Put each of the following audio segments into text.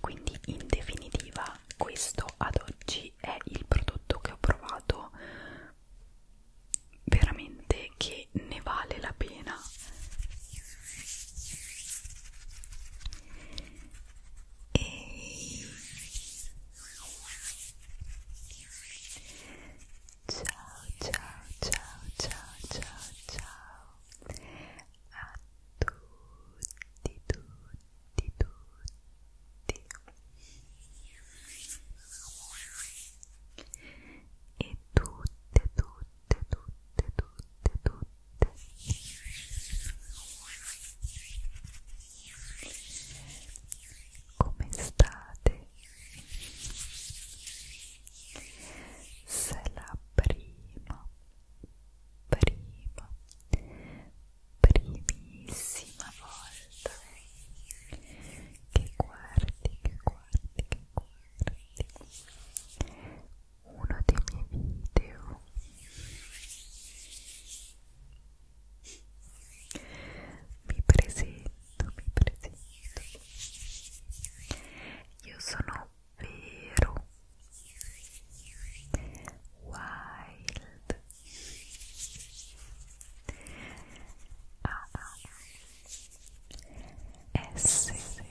Quindi in definitiva questo ad oggi è il prodotto che ho provato veramente che ne vale la pena. Ehi. Ciao ciao ciao ciao ciao ciao a tutti, tutti, tutti e tutte, tutte, tutte, tutte, tutte come state? Se la prima prima, primissima volta che guardi, che guardi, che guardi uno dei miei video mi presento, mi presento io sono Vero. Wild. A A S M R L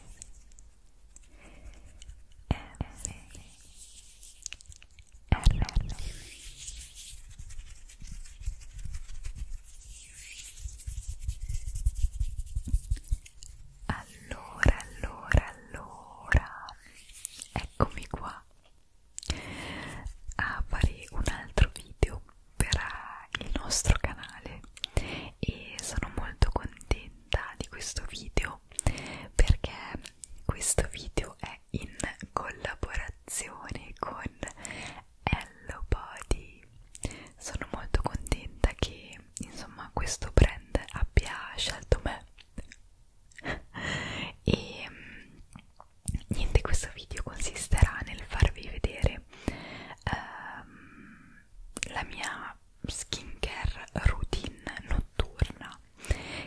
Allora, allora, allora, eccomi qua a fare un altro video per il nostro canale e sono molto contenta di questo video perché questo video è in collaborazione con Hello Body sono molto contenta che che insomma questo brand abbia scelto me e mm, niente questo video consisterà nel farvi vedere ehm, la mia skincare routine notturna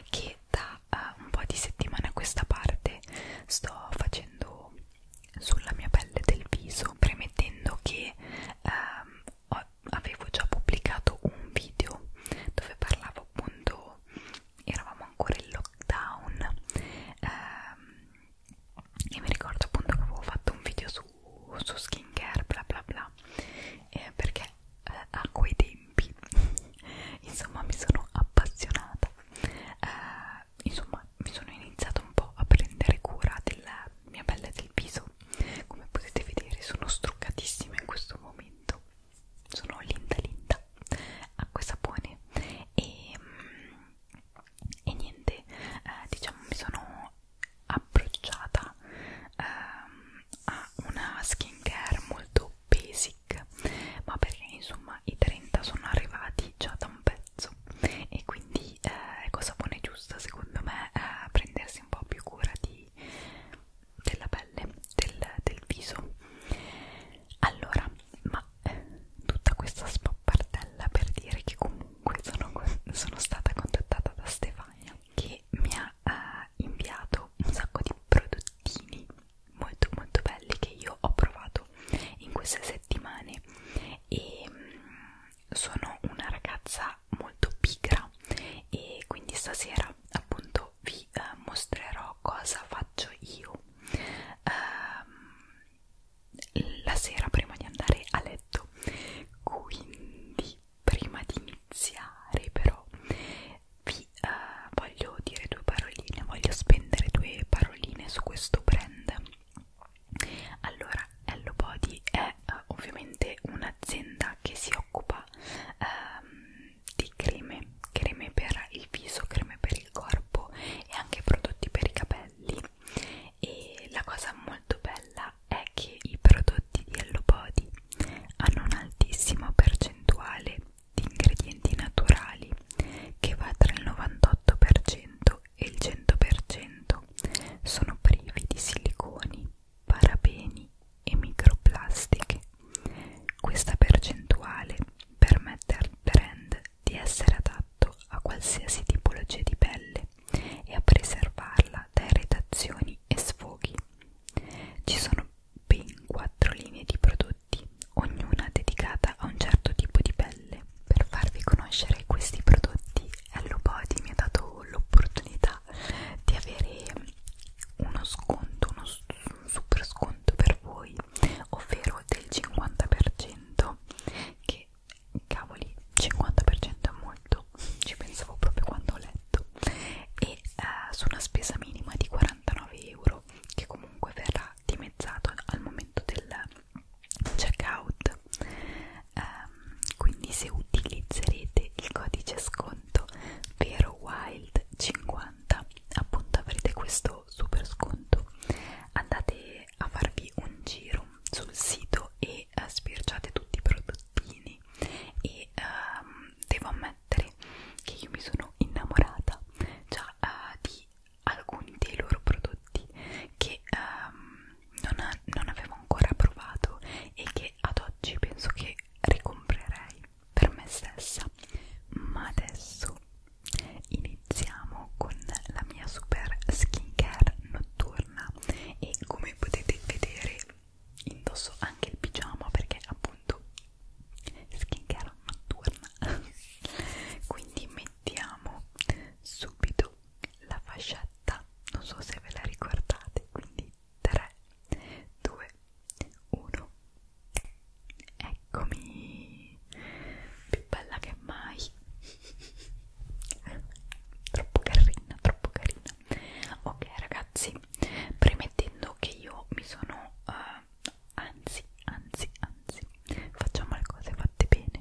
che da eh, un po' di settimane a questa parte sto facendo sulla mia pelle del viso premettendo che ehm, avevo già pubblicato un video dove parlavo appunto eravamo ancora in lockdown ehm, e mi ricordo appunto che avevo fatto un video su, su skincare bla bla bla eh, perché eh, a quei tempi insomma mi sono appassionata eh, insomma mi sono iniziata un po' a prendere cura del, mia pelle del viso come potete vedere sono struccatissima in questo momento sono linda linda acqua e sapone e, mm, e niente eh, diciamo mi sono approcciata ehm, a una skincare molto basic ma perché insomma i 30 sono arrivati già da un pezzo e quindi eh, è cosa ecco, buona e giusta secondo me eh, prendersi un po' più cura di dei, della pelle, del, del viso. Allora, ma eh, tutta questa spappartella per dire che comunque sono, sono stata contattata da Stefania che mi ha eh, inviato un sacco di prodottini molto molto belli che io ho provato in queste settimane e mh, mm, sono una ragazza sarà molto pigra e quindi stasera appunto vi eh, mostrerò cosa faccio io ehm, la sera prima di andare a letto quindi prima di iniziare però vi eh, voglio dire due paroline voglio spendere due paroline su questo brand allora Hello Body è eh, ovviamente un'azienda che si occupa ehm, di creme, creme per il viso, creme per il corpo e anche prodotti per i capelli e la cosa molto bella è che i prodotti di Hello Body hanno un'altissima percentuale di ingredienti naturali che va tra il 98% e il 100% sono privi di siliconi parabeni e microplastiche. Questa percentuale permette al brand di essere adatto a qualsiasi tipologia di pelle e a preservarla da irritazioni e sfoghi. Ci sono ben quattro linee di prodotti, ognuna dedicata a un certo tipo di pelle. Per farvi conoscere questi prodotti Hello Body mi ha dato l'opportunità di avere uno sconto, uno super sconto per voi, ovvero del 50%, che cavoli, 50% è molto, ci pensavo proprio quando ho letto, e uh, su una spesa minima di 49 euro, che comunque verrà dimezzato al momento del checkout um, quindi se utilizzerete il codice sconto vero wild 50 appunto avrete questo super sconto andate a farvi un giro sul sito e uh, sbirciate tutti i prodottini e um, devo ammettere che io mi sono innamorata già uh, di alcuni dei loro prodotti che um, non, ha, non avevo ancora provato e che che ad oggi penso che ricomprerei per me stessa ma adesso iniziamo con la mia super skincare notturna e come potete vedere indosso anche il pigiama perché appunto skincare notturna quindi mettiamo subito la fascetta non so se ve la ricordate quindi 3, 2, 1 Eccomi Più bella che mai Troppo carina, troppo carina Ok ragazzi, premettendo che io mi sono... Uh, anzi, anzi, anzi Facciamo le cose fatte bene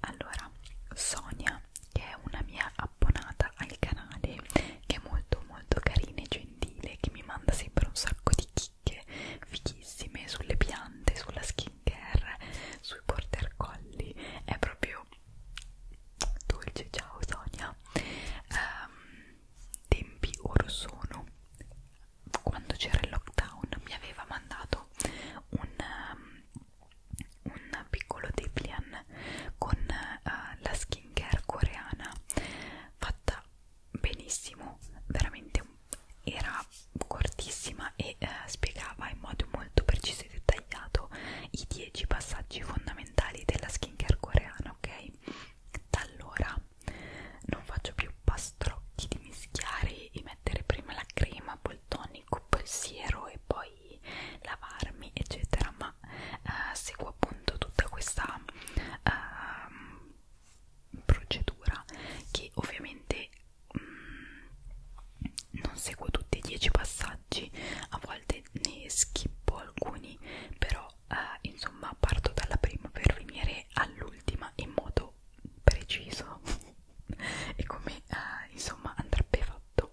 Allora, Sonia che è una mia abbonata al canale che è molto molto carina e gentile che mi manda sempre un sacco di chicche fichissime sulle piante, sulla skincare, sui border colli è proprio dolce, ciao Sonia um, tempi or sono quando c'era il lockdown mi aveva mandato un um, un piccolo Deplian con uh, la skincare coreana fatta benissimo, veramente era cortissima e uh, spiegava in modo molto preciso e dettagliato i 10 passaggi fondamentali della skincare coreana, ok? Da allora non faccio più pastrocchi di mischiare e mettere prima la crema, poi il tonico, poi il siero e poi poi lavarmi eccetera ma eh, seguo appunto tutta questa eh, procedura che ovviamente mh, mm, non seguo tutti i 10 passaggi a volte ne schippo alcuni però eh, insomma parto dalla prima per venire all'ultima in modo preciso e come eh, insomma andrebbe fatto pensiero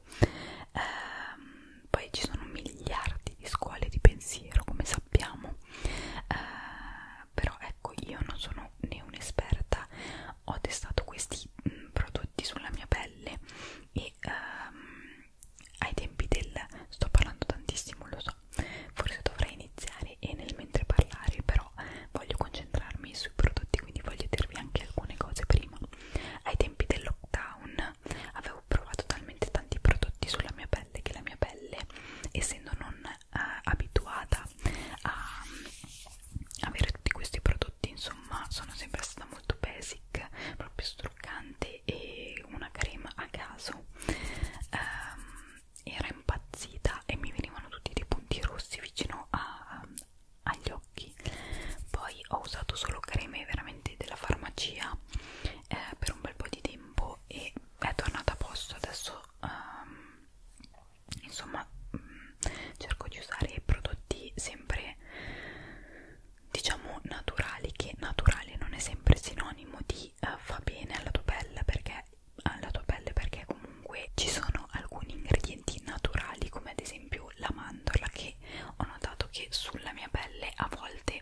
eh, poi ci sono miliardi di scuole di pensiero come sappiamo eh, però ecco io non sono né un'esperta ho testato questi mh, mm, prodotti sulla mia pelle e ehm, ai tempi del sto parlando tantissimo lo so forse dovrei iniziare e nel mentre parlare però voglio concentrarmi sui prodotti quindi voglio dirvi anche alcune cose prima ai tempi del lockdown avevo ho provato talmente tanti prodotti sulla mia pelle che la mia pelle, essendo non eh, abituata a mm, avere tutti questi prodotti, insomma, sono sempre stata molto basic, proprio struccante e una crema a caso. Um, era impazzita e mi venivano tutti dei punti rossi vicino a, agli occhi poi ho usato solo creme veramente della farmacia eh, per un bel po' di tempo e è tornata a posto adesso um, insomma um, cerco di usare prodotti sempre diciamo naturali che naturale non è sempre sinonimo di uh, fa bene alla tua pelle perché alla tua pelle perché comunque ci sono alcuni ingredienti naturali come ad esempio la mandorla che e ho notato che sulla mia pelle a volte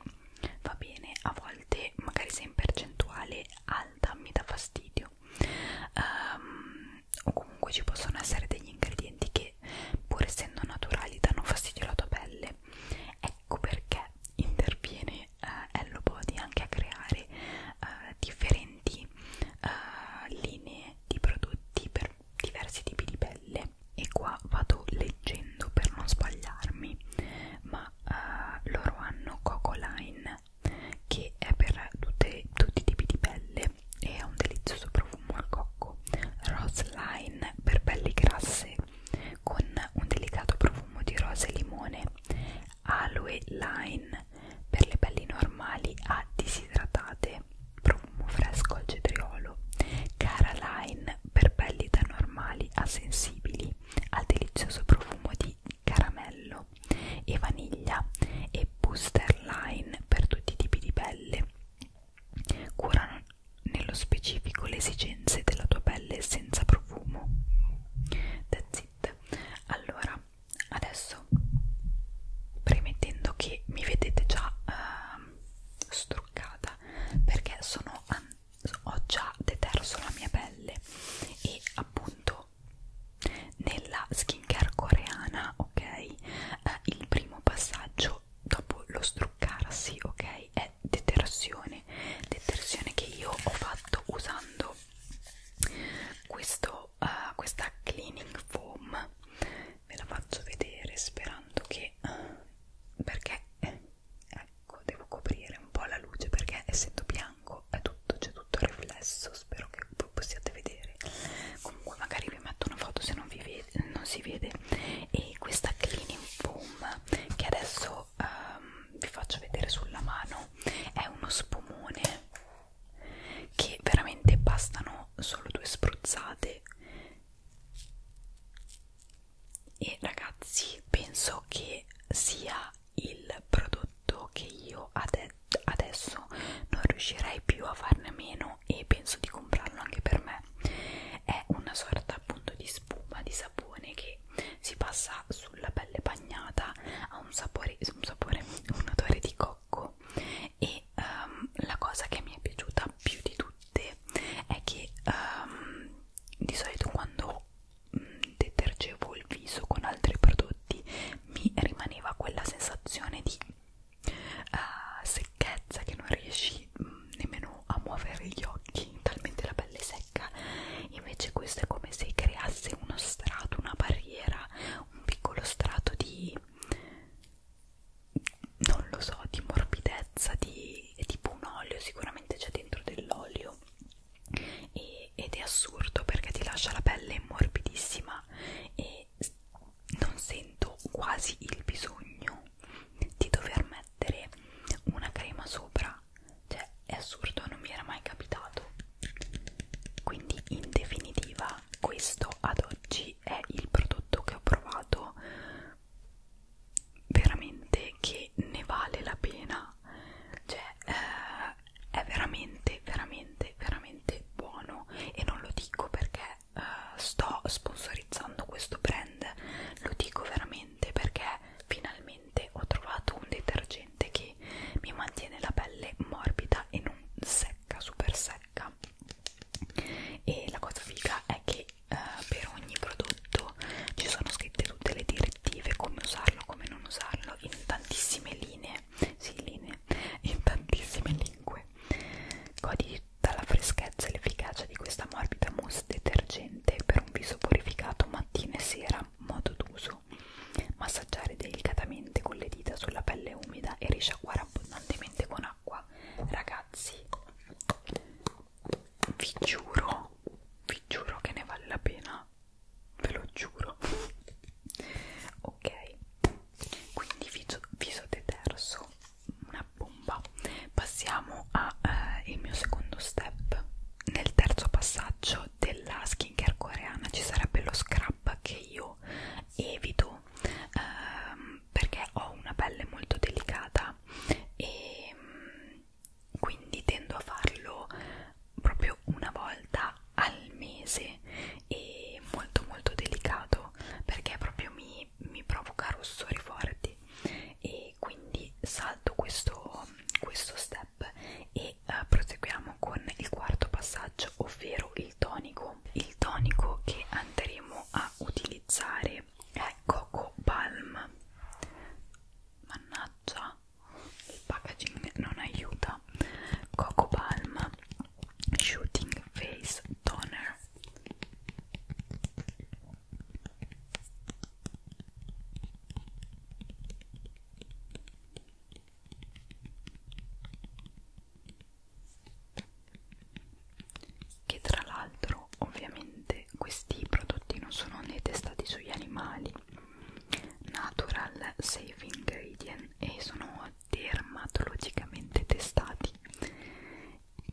va bene, a volte magari se in percentuale alta mi dà fastidio um, o comunque ci possono essere degli ingredienti che pur essendo naturali danno fastidio alla tua pelle ecco perché interviene uh, Hello Body anche a creare uh, differenti uh, linee di prodotti per diversi tipi di pelle e qua vado leggendo per non sbagliarmi ma uh, loro hanno Coco Line che è per tutte, tutti i tipi di pelle e ha un delizioso profumo al cocco Rose Line per pelli grasse con un delicato profumo di rosa e limone Aloe Line per le pelli normali a disidratate e profumo fresco al cetriolo, Caroline per pelli da normali a sensibili, al delizioso profumo di caramello e vaniglia e Booster Line per tutti i tipi di pelle. Curano nello specifico le esigenze della tua pelle senza profumo. That's it. Allora, adesso premettendo che mi vedete già uh, struccata pasta perché sono, ho già deterso la mia pelle e appunto nella skincare coreana ok eh, il primo passaggio dopo lo struccarsi ok è detersione detersione che io ho fatto usando questo, uh, questa cleaning foam ve la faccio vedere sperando che eh, perché eh, ecco devo coprire un po' la luce perché essendo bianco è tutto c'è tutto il riflesso spero che voi possiate vedere comunque magari vi metto una foto se non, vi vede, non si vede e questa cleaning foam che adesso um, vi faccio vedere sulla mano è uno spumone che veramente bastano solo due spruzzate e ragazzi penso che sia il prodotto che io ade adesso non riuscirei più a farne a meno e penso di comprarlo anche per me è una sorta appunto di spuma di sapone che si passa sulla pelle bagnata ha un sapore un, sapore, un odore di cocco e um, la cosa che mi è piaciuta più di tutto latte è che um, di solito quando um, detergevo il viso con altri prodotti mi rimaneva quella sensazione di uh, secchezza che non riesci um, nemmeno a muovere gli occhi talmente la pelle è secca invece questo è come se creasse uno strato una barriera un piccolo strato di non lo so, di morbidezza, di, è tipo un olio, sicuramente c'è dentro dell'olio e, ed è assurdo perché ti lascia la pelle morbidissima e non sento quasi il bisogno di dover mettere una crema sopra, cioè è assurdo, non mi era mai capitato. Quindi in definitiva questo ad oggi è il prodotto che ho provato veramente che ne vale la pena cioè eh, è veramente veramente veramente buono e non lo dico perché eh, sto sponsorizzando questo brand lo dico veramente perché finalmente ho trovato un detergente che mi mantiene la pelle morbida e non secca super secca e la cosa figa è che eh, per ogni prodotto ci sono scritte tutte le direttive, come usarlo, come non usarlo, in tantissime linee, sì linee, in tantissime lingue. Godi dalla freschezza e l'efficacia di questa morbida mousse detergente per un viso purificato mattina e sera, modo d'uso. Massaggiare delicatamente con le dita sulla pelle umida e risciacquare abbondantemente con acqua. Ragazzi, vi giuro vi giuro che ne vale la pena ve lo giuro ok quindi viso, viso deterso una bomba passiamo al eh, mio secondo step nel terzo passaggio della skincare coreana ci sarebbe lo scrub che io evito ehm, perché ho una pelle molto delicata e mm, quindi tendo a farlo proprio una volta al mese e molto molto delicato perché proprio mi, mi provoca rossori forti e quindi salto questo, questo step e uh, proseguiamo con il quarto passaggio ovvero il tonico il tonico che andremo a utilizzare che ecco, è Coco Palm mannaggia il packaging non aiuta Coco Palm Shooting Face Toner che tra l'altro ovviamente questi prodotti non sono né testati sugli animali natural safe ingredient e sono dermatologicamente testati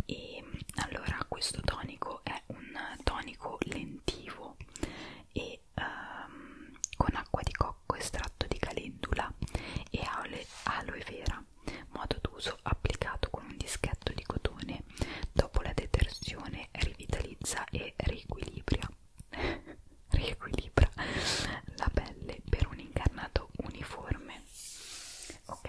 e allora questo tonico è un tonico lentivo e um, con acqua di cocco estratto di calendula e aloe, aloe vera modo d'uso applicato con un dischetto di cotone dopo la detersione rivitalizza e riequilibra riequilibra la pelle per un incarnato uniforme ok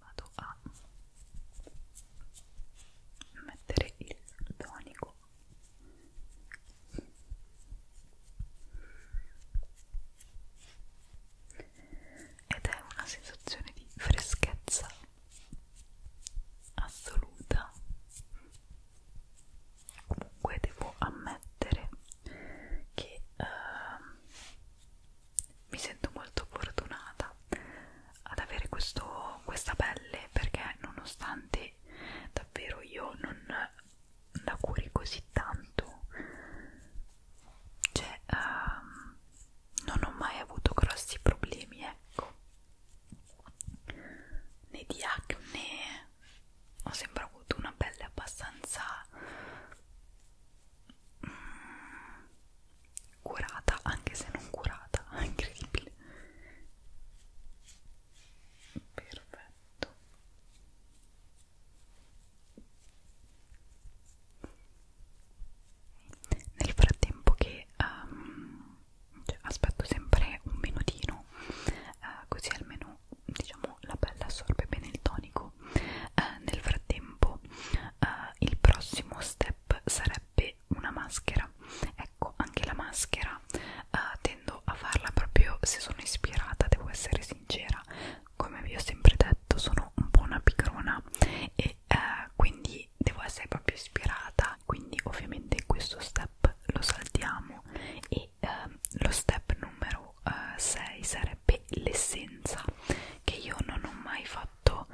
vado a mettere il sardonico ed è una sensazione di freschezza assoluta comunque devo ammettere che uh, mi sento molto fortunata ad avere questo, questa pelle perché nonostante davvero io non la curi così tanto cioè uh, non ho mai avuto grossi problemi ecco né di acne ho sempre avuto una pelle abbastanza mm, curata, anche se non curata, incredibile. Perfetto. Nel frattempo che um, cioè, aspetto sempre un minutino, uh, così almeno diciamo la pelle assorbe bene il tonico eh, nel frattempo eh, il prossimo step sarebbe una maschera ecco anche la maschera eh, tendo a farla proprio se sono ispirata devo essere sincera come vi ho sempre detto sono un po' una picrona e eh, quindi devo essere proprio ispirata quindi ovviamente questo step lo saltiamo e e ehm, lo step numero 6 eh, sarebbe l'essenza che io non ho mai fatto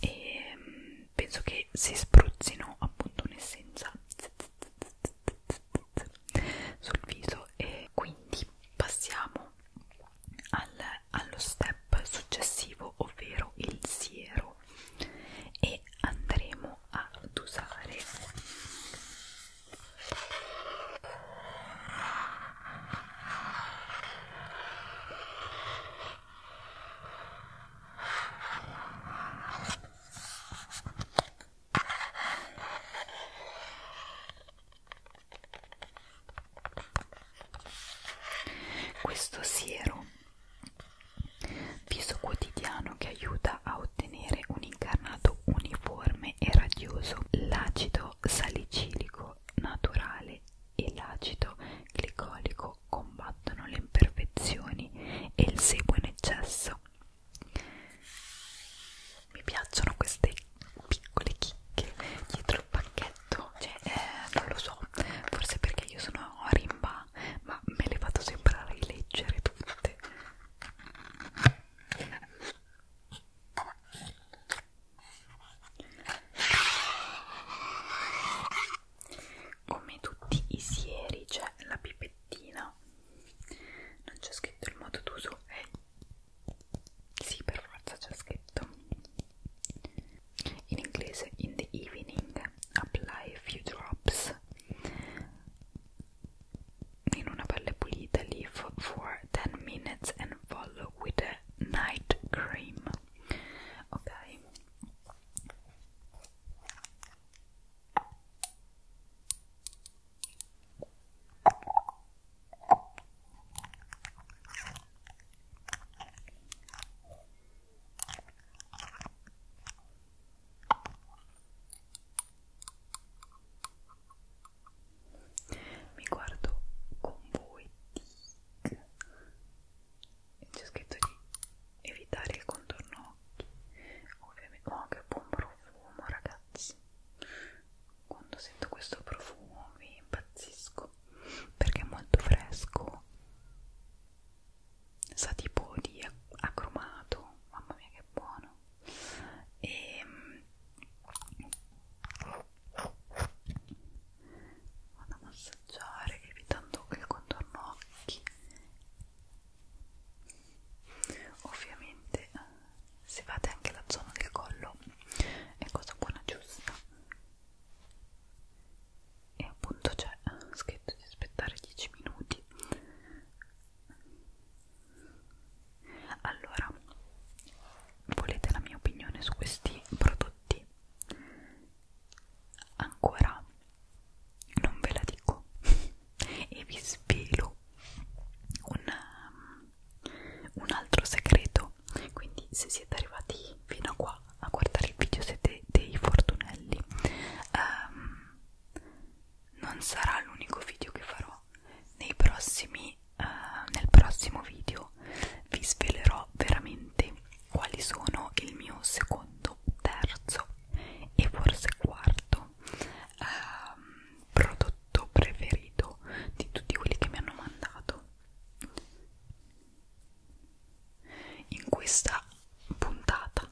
e mm, penso che si spruzzino appunto un'essenza sul viso e quindi passiamo al, allo step successivo ovvero il siero e andremo ad usare questo siero, viso quotidiano che aiuta a ottenere un incarnato uniforme comune e radioso l'acido salicilico naturale e l'acido glicolico combattono le imperfezioni e il sebo in eccesso mi piacciono queste piccole chicche dietro il pacchetto cioè, eh, non lo so forse perché io sono rimba ma me le vado sempre a rileggere tutte come tutti i sieri c'è la pipettina non c'è scritto il modo d'uso eh sì per forza c'è scritto in inglese in the evening apply a few drops in una pelle pulita leave for 10 minutes and follow with a night cream okay mi guardo con voi tic. c'è scritto di evitare il contorno occhi ovviamente oh che buon profumo ragazzi quando sento questo profumo mi impazzisco perché è molto fresco sa tipo di acromato mamma mia che buono e vado a massaggiare evitando il contorno occhi ovviamente se fate anche la zona del collo è cosa buona giusta e appunto c'è scritto di aspettare 10 minuti allora volete la mia opinione su questi prodotti ancora non ve la dico e vi svelo un, um, un altro segreto quindi se siete arrivati fino a qua a guardare il video siete dei fortunelli um, non sarà l'unico video che farò nei prossimi uh, nel prossimo video vi svelerò veramente quali sono il mio secondo terzo e forse quarto uh, prodotto preferito di tutti quelli che mi hanno mandato in questa puntata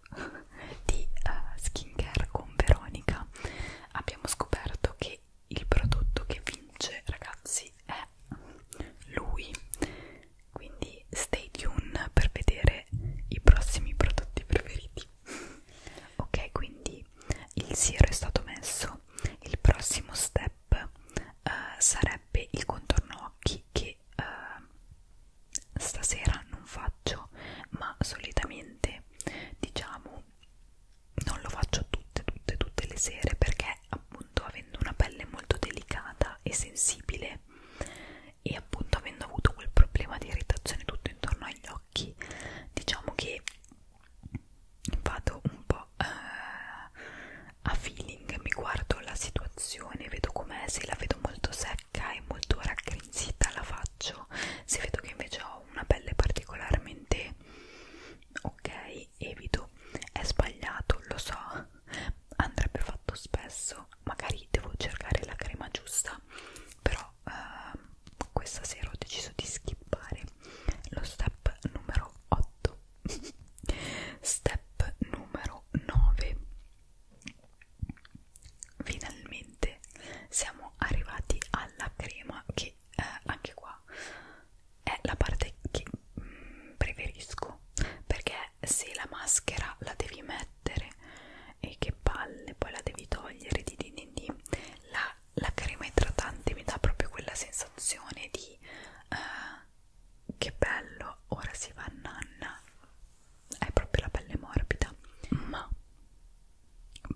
di uh, skincare con Veronica abbiamo scoperto che il prodotto che vince ragazzi è lui quindi stay tuned per vedere i prossimi prodotti preferiti ok quindi il siero è stato messo il prossimo step eh, sarebbe il contorno occhi che eh, stasera non faccio ma solitamente diciamo non lo faccio tutte tutte tutte le sere perché appunto avendo una pelle molto delicata e sensibile e appunto avendo avuto quel problema di irritazione tutto intorno agli occhi diciamo che vado un po' eh, a feeling mi guardo la situazione vedo com'è se la vedo molto secca e molto raggrinzita la faccio faccio se vedo che invece ho una pelle particolarmente ok evito è sbagliato lo so andrebbe fatto spesso magari devo cercare la crema giusta però eh, questa sera ho deciso di skippare lo step numero 8 step numero 9 finalmente siamo arrivati alla crema che eh, anche qua è la parte che mm, preferisco perché se la maschera la devi mettere e che palle poi la devi togliere di di di, di la, la crema idratante mi dà proprio quella sensazione di eh, che bello ora si va a nanna è proprio la pelle morbida ma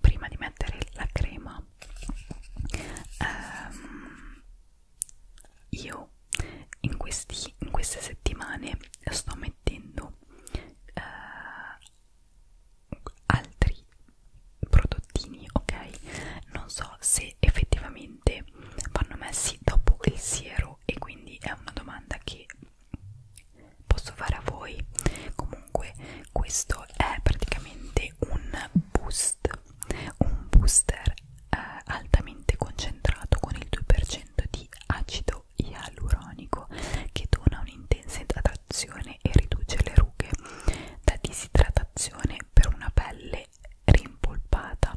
prima di mettere la crema ehm, io in, questi, in queste settimane sto mettendo eh, altri prodottini ok non so se effettivamente vanno messi dopo il siero e quindi è una domanda che posso fare a voi comunque questo è praticamente un boost un booster eh, altamente concentrato con il 2% di acido ialuronico che dona un'intensa idratazione e riduce le rughe da disidratazione per una pelle rimpolpata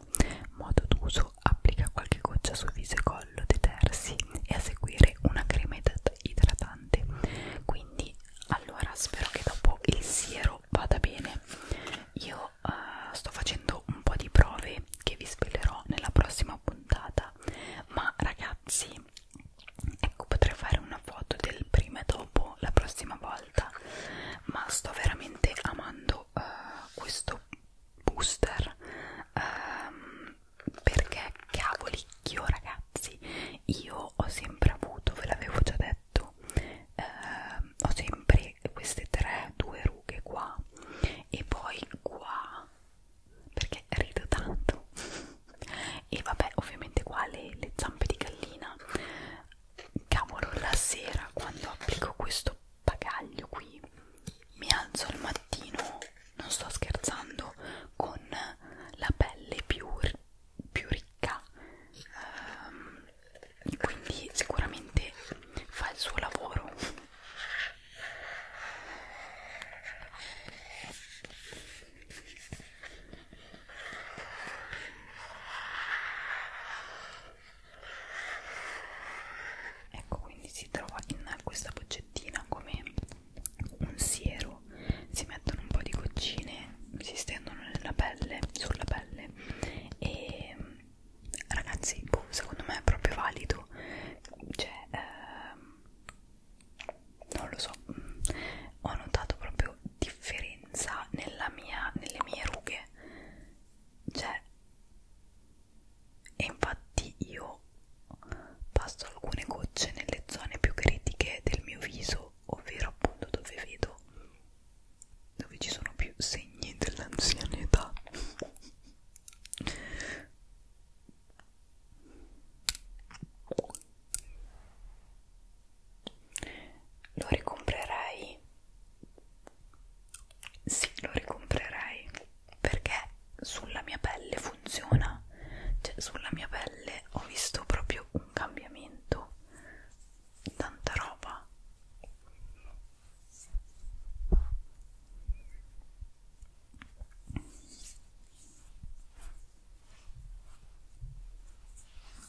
modo d'uso applica qualche goccia su viso e collo dei terzi e a seguire una crema idratante tante quindi allora spero che dopo il siero vada bene io uh, sto facendo un po' di prove che vi svelerò nella prossima puntata ma ragazzi ecco potrei fare una foto del prima e dopo la prossima volta ma sto veramente amando uh, questo booster um, perché cavolicchio ragazzi io ho sempre avuto ve l'avevo già detto eh, ho sempre queste tre due rughe qua e poi qua perché rido tanto e vabbè ovviamente qua le, le zampe di gallina cavolo la sera quando applico questo bagaglio qui mi alzo al mattino non sto scherzando con la pelle più, più ricca um, quindi sicuramente fa il suo lavoro ecco quindi si trova in questa boccettina come un siero si mettono un po' di goccine si stendono nella pelle sulla pelle e ragazzi boh, secondo me è proprio valido cioè eh, non lo so ho notato proprio differenza nella mia, nelle mie rughe cioè e infatti io mano passo alcune gocce nelle zone più critiche del mio viso ovvero appunto dove vedo dove ci sono più segni dell'anzianità lo ricomprerei sì lo ricomprerei perché sulla mia pelle funziona cioè, sulla mia pelle ho visto proprio un cambiamento tanta roba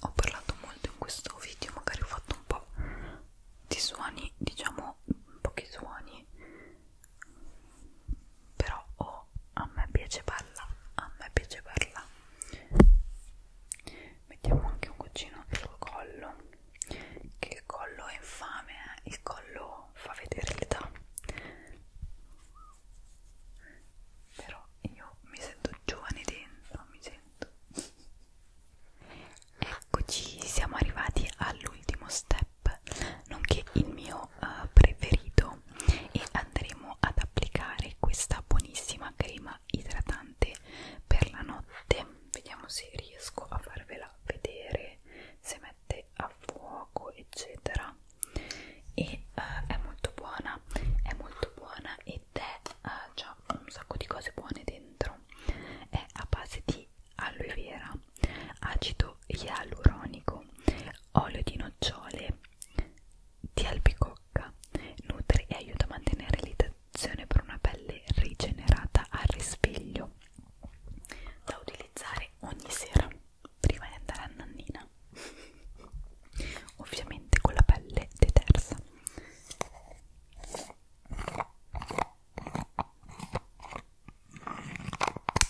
ho parlato molto in questo video magari ho fatto un po' di suoni diciamo pochi suoni però oh, a me piace parla a me piace parla mettiamo anche un goccino sul collo che il collo è infame eh? il collo fa vedere l'età però io mi sento giovane dentro mi sento eccoci siamo arrivati all'ultimo step nonché il mio mio eh, preferito e andremo ad applicare questa buonissima crema idratante per la notte vediamo se riesco a farvela vedere se mette a fuoco eccetera e eh, è molto buona è molto buona ed è eh, già un sacco di cose buone dentro è a base di aloe vera acido ialuronico olio di nocciole di albicocca nutre e aiuta a mantenere l'idratazione per una pelle rigenerata al risveglio da utilizzare ogni sera prima di andare a nannina ovviamente con la pelle detersa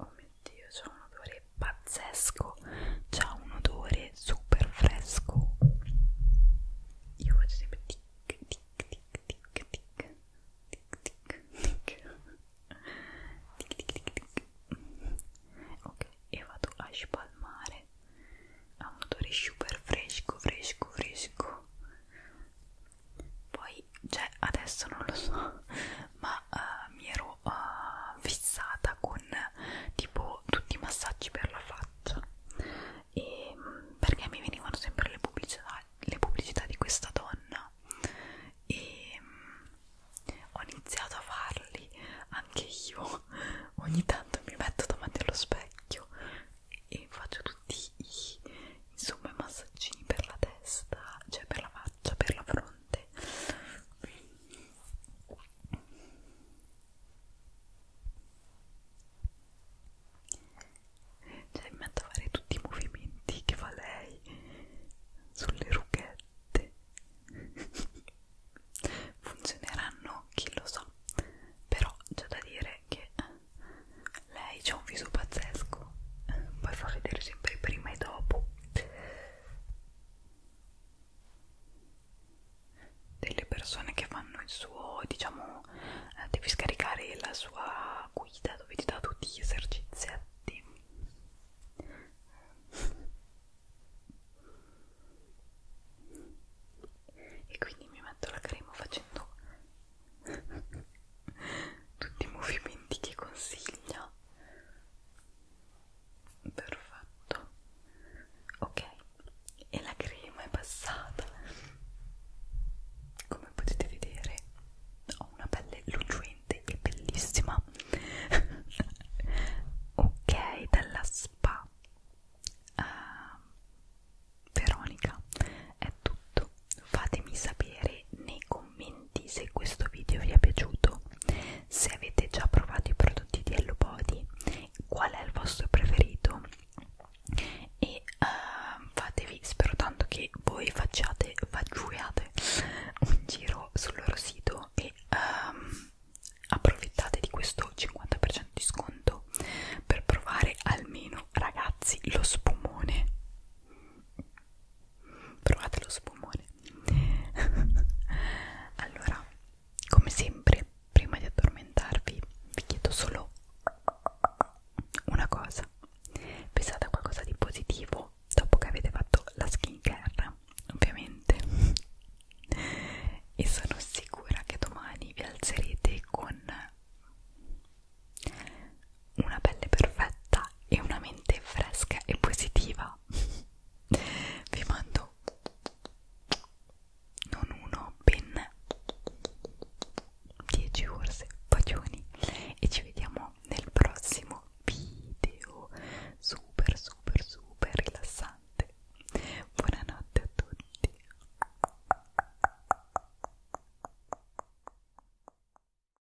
oh mio dio c'ha un odore pazzesco c'ha un odore super fresco io faccio sempre tic tic tic tic tic tic tic tic tic tic tic tic ok e vado a spalmare ha un odore super fresco fresco fresco poi cioè adesso non lo so ma uh, mi ero uh, fissata con tipo tutti i massaggi per la faccia e, mm, perché mi venivano sempre le pubblicità, le pubblicità di questa donna e mm, ho iniziato a farli anche io ogni tanto mi metto davanti allo specchio e faccio tutti i, insomma i massaggini per la testa, cioè per la faccia, per la fronte cioè mi metto a fare tutti i movimenti che fa lei sulle rughette funzioneranno chi lo so però c'è da dire che lei ha un viso pazzesco poi fa vedere sempre il prima e dopo delle persone che fanno il suo diciamo eh, devi scaricare la sua guida dove ti dà tutti gli esercizi e quindi mi metto la crema facendo tutti i movimenti che consiglia perfetto ok e la crema è passata come potete vedere ho una pelle lucente e bellissima ok dalla spa uh, Veronica è tutto fatemi sapere nei commenti se questo video vi è piaciuto se avete già provato i prodotti di Hello Body qual è il vostro preferito e uh, fatevi spero tanto che voi facciate facciate un giro sul loro sito e um, approfittate di questo 50% di sconto per provare almeno ragazzi lo spumone provate lo spumone allora come sempre prima di addormentarvi vi chiedo solo una cosa pensate a qualcosa di positivo dopo che avete fatto la skin care ovviamente e sono sicura che domani vi alzerete con una pelle perfetta e una mente fresca e positiva vi mando non uno ben 10 forse bacioni e ci vediamo nel prossimo video super super super rilassante buonanotte a tutti